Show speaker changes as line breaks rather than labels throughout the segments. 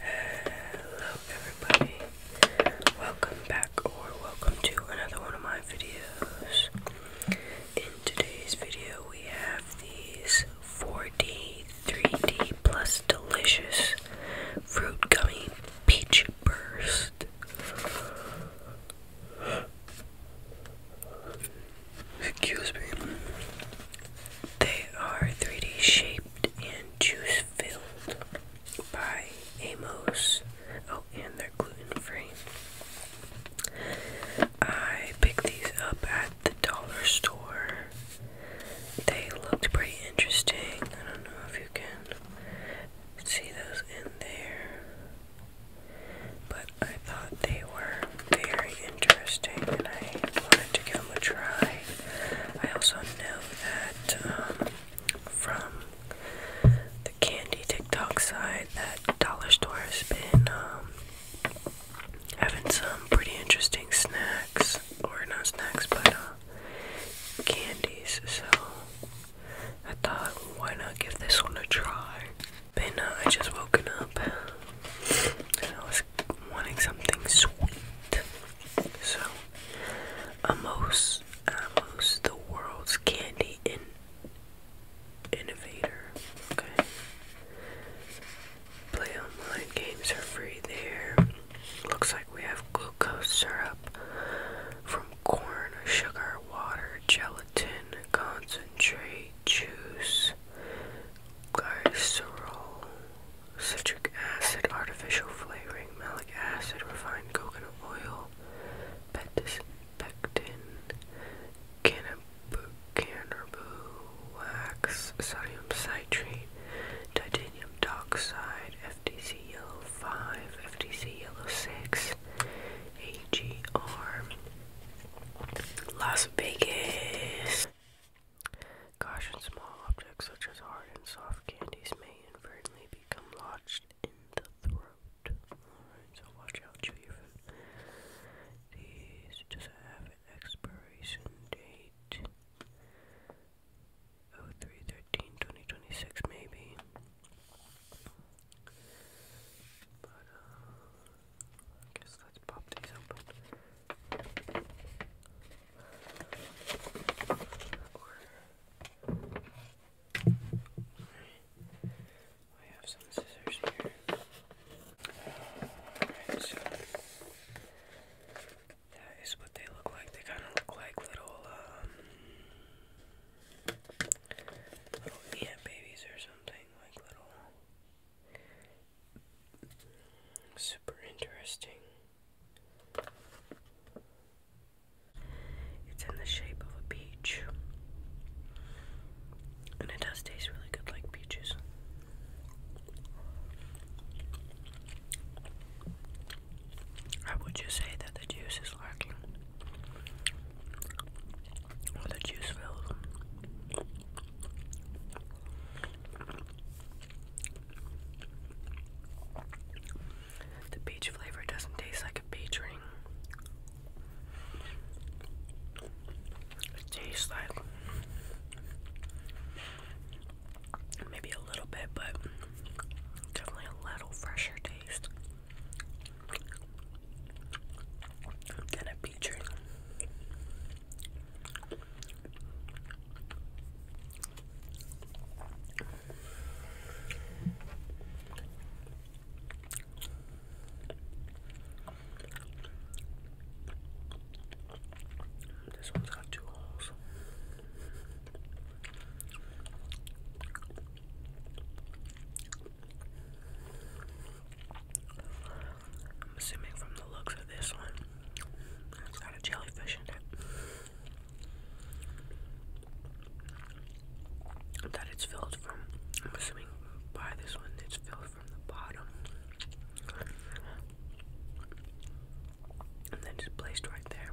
Hello everybody. Welcome back or welcome to another one of my videos. In today's video we have these 4D, 3D plus delicious fruit gummy peach burst. Excuse me. They are 3D shaped and juice filled by Amos. Oh, and they're gluten free. I picked these up at the dollar store. They looked pretty interesting. I don't know if you can see those in there. But thought they were very interesting and I wanted to give them a try. I also know that um, from the candy TikTok side that Dollar Store has been um, having some pretty interesting snacks, or not snacks, but uh, candies. So I thought, why not give this one a try? But uh, I just woken up. And I was wanting something sweet. So, Amos, Amos, the world's candy in innovator. Okay. Play online games are free there. Looks like we have glucose syrup from corn, sugar, water, gelatin, concentrate, juice, glycerol, citric acid, artificial flavoring, malic acid, refined coconut oil, pectin, cannabis, cannabis wax, sodium citrate, titanium dioxide, FTC yellow 5, FTC yellow 6, AGR, Las Vegas. Caution small objects such as hard and soft candies may inadvertently become lodged in the throat. Alright, so watch out, chew your These just have an expiration date. Oh three thirteen twenty twenty six maybe. But uh, I guess let's pop these open. I have some scissors here. that is what they look like. They kind of look like um, little ant babies or something. Like little Super interesting. It's in the shape of a peach. And it does taste really good like peaches. I would just say that the juice is lacking the juice filled. The peach flavor doesn't taste like a peach ring. It tastes like maybe a little bit, but definitely a little fresher taste. I'm gonna picture this one's got two holes. I'm assuming from the looks of this one, it's got a jellyfish in it. That it's filled from, I'm assuming by this one, it's filled from the bottom. And then just placed right there.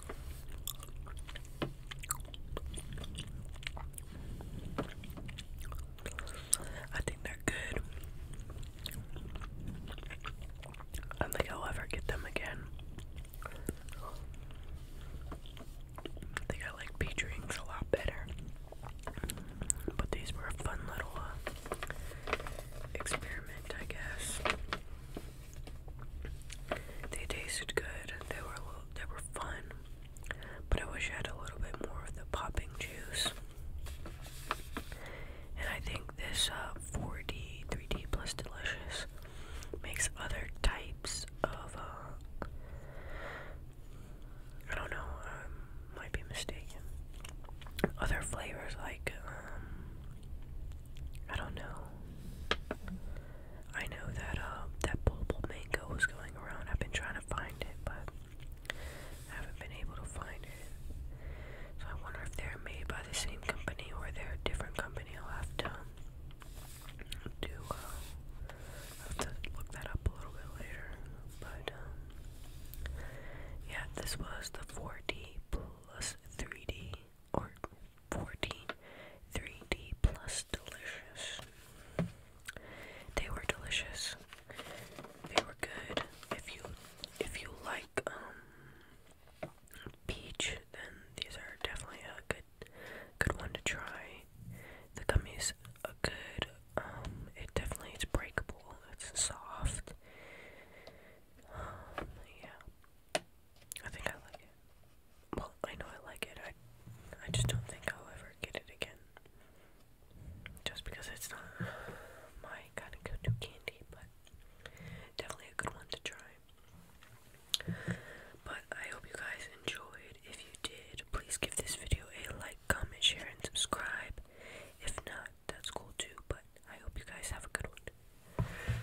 I think they're good. I don't think I'll ever get them again. I think I like peach drinks a lot better. But these were a fun little uh, experiment, I guess. They tasted good. They were they were fun, but I wish I had a little bit more of the popping juice. And I think this 4D, uh, 3D plus delicious makes other types of. Uh, I don't know. Um, might be mistaken. Other flavors like um, I don't know. I know that uh that bulbul mango was going around. I've been trying to find it, but I haven't been able to find it. So I wonder if they're made by the same company or they're a different company. I'll have to um, do uh, I'll have to look that up a little bit later. But um yeah, this was the 4D plus 3D or 14 d plus delicious. They were delicious. They were good. If you if you like um peach, then these are definitely a good good one to try. The gummies a good um it definitely is breakable. It's soft. Um, yeah. I think I like it. Well, I know I like it. I I just don't think I'll ever get it again. Just because it's not my kind of candy, but definitely a good one to try. But I hope you guys enjoyed. If you did, please give this video a like, comment, share, and subscribe. If not, that's cool too, but I hope you guys have a good one.